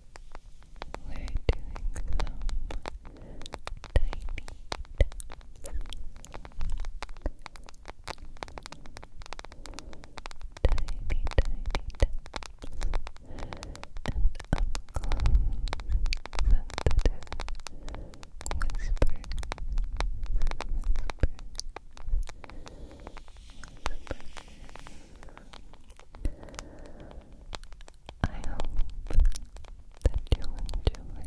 we're doing some tiny taps. Tiny, tiny taps. And up close, sensitive whisper. Whisper. Whisper. Whisper. I hope that you enjoy, enjoy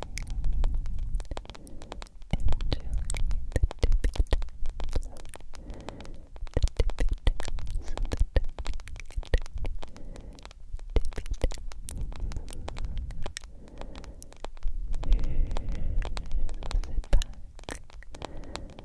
the tippy the tippy taps, the tippy taps, tippy taps. Sit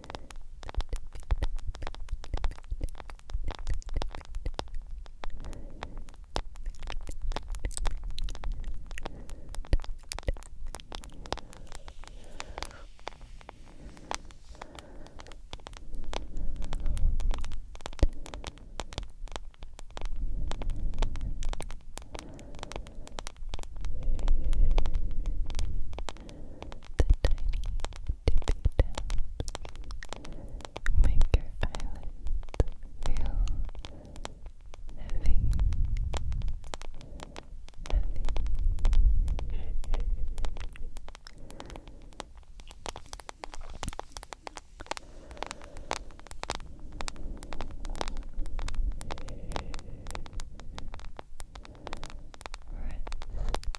tiny tippy taps make your eyelids feel heavy, heavy.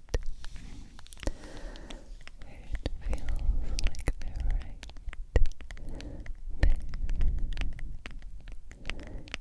It feels like they're right there. You can feel The warmth.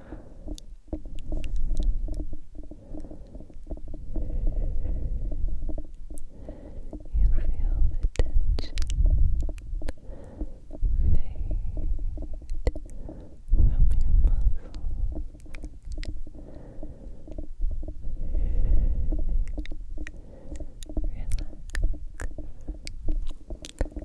You feel the tension fade from your muscles.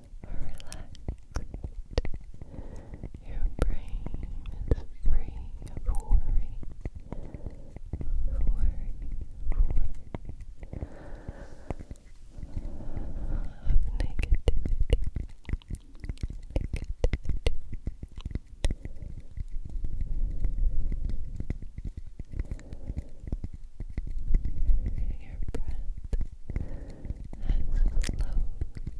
relaxed. Your brain is free of worry. Worry, worry. Of negativity. Your breath has slowly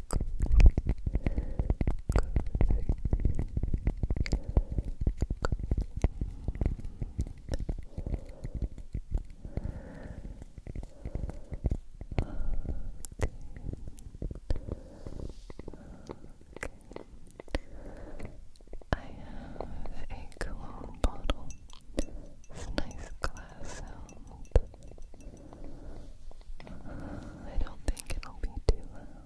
I have a cologne bottle. It's nice glass I don't think it'll be too loud.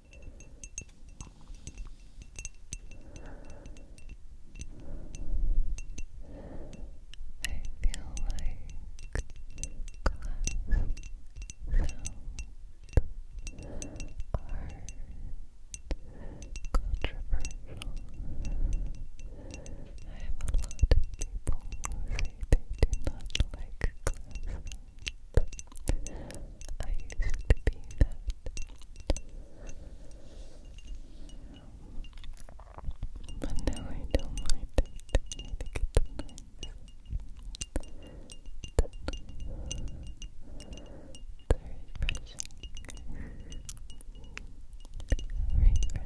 feel like glass, sound, art, controversial. I have a lot of people say they do not like I used to be that. But now I don't mind it. refreshing. refreshing. Refreshing.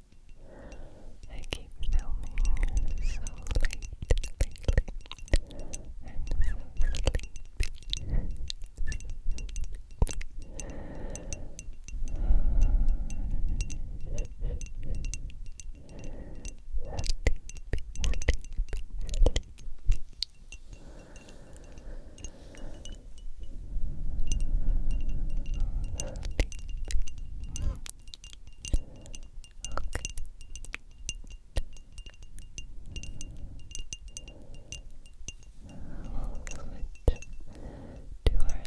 I keep filming so late lately. I'm so sleepy. Okay. We'll switch to our last object. Okay.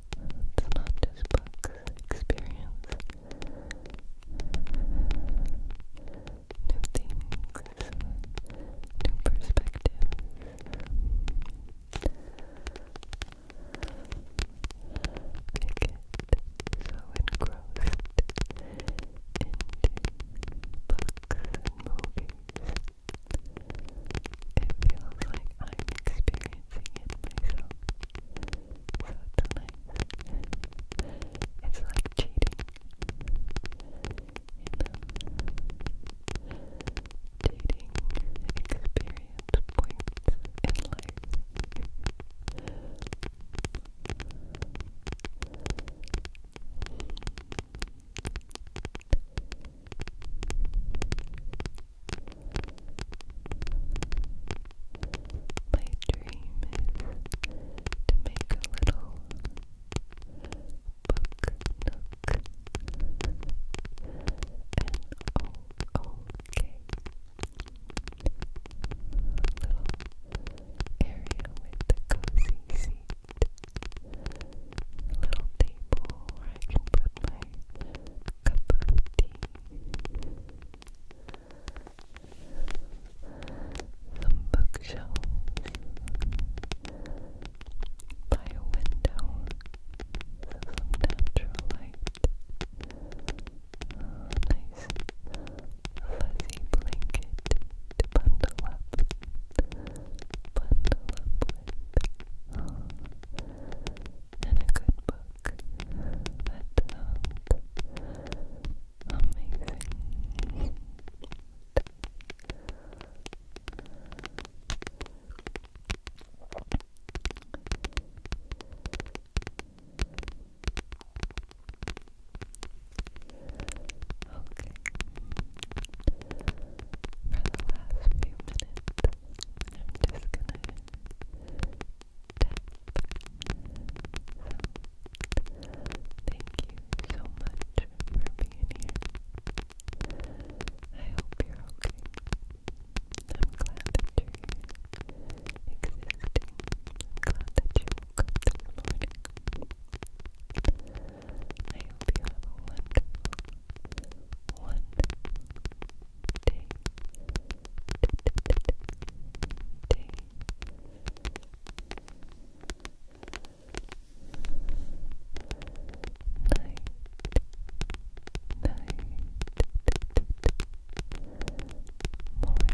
It's not just books, experience new things, new perspectives. I so engrossed into books and movies it feels like I'm experiencing it myself. So tonight, it's like cheating. You know, cheating experience points in life. My dream is to make a little book nook. N O O K. A little area with the cozy seat little table where I can put my cup of tea. Some bookshelves by a window, some natural light. nice fuzzy blanket bundle up, bundle up with and a good book that amazing. Okay. For the last few minutes, I'm just gonna thank you so much for being here. I hope you're okay. I'm glad that you're glad that you woke up I hope you have a wonderful one day, day. Night, night, morning, morning, morning.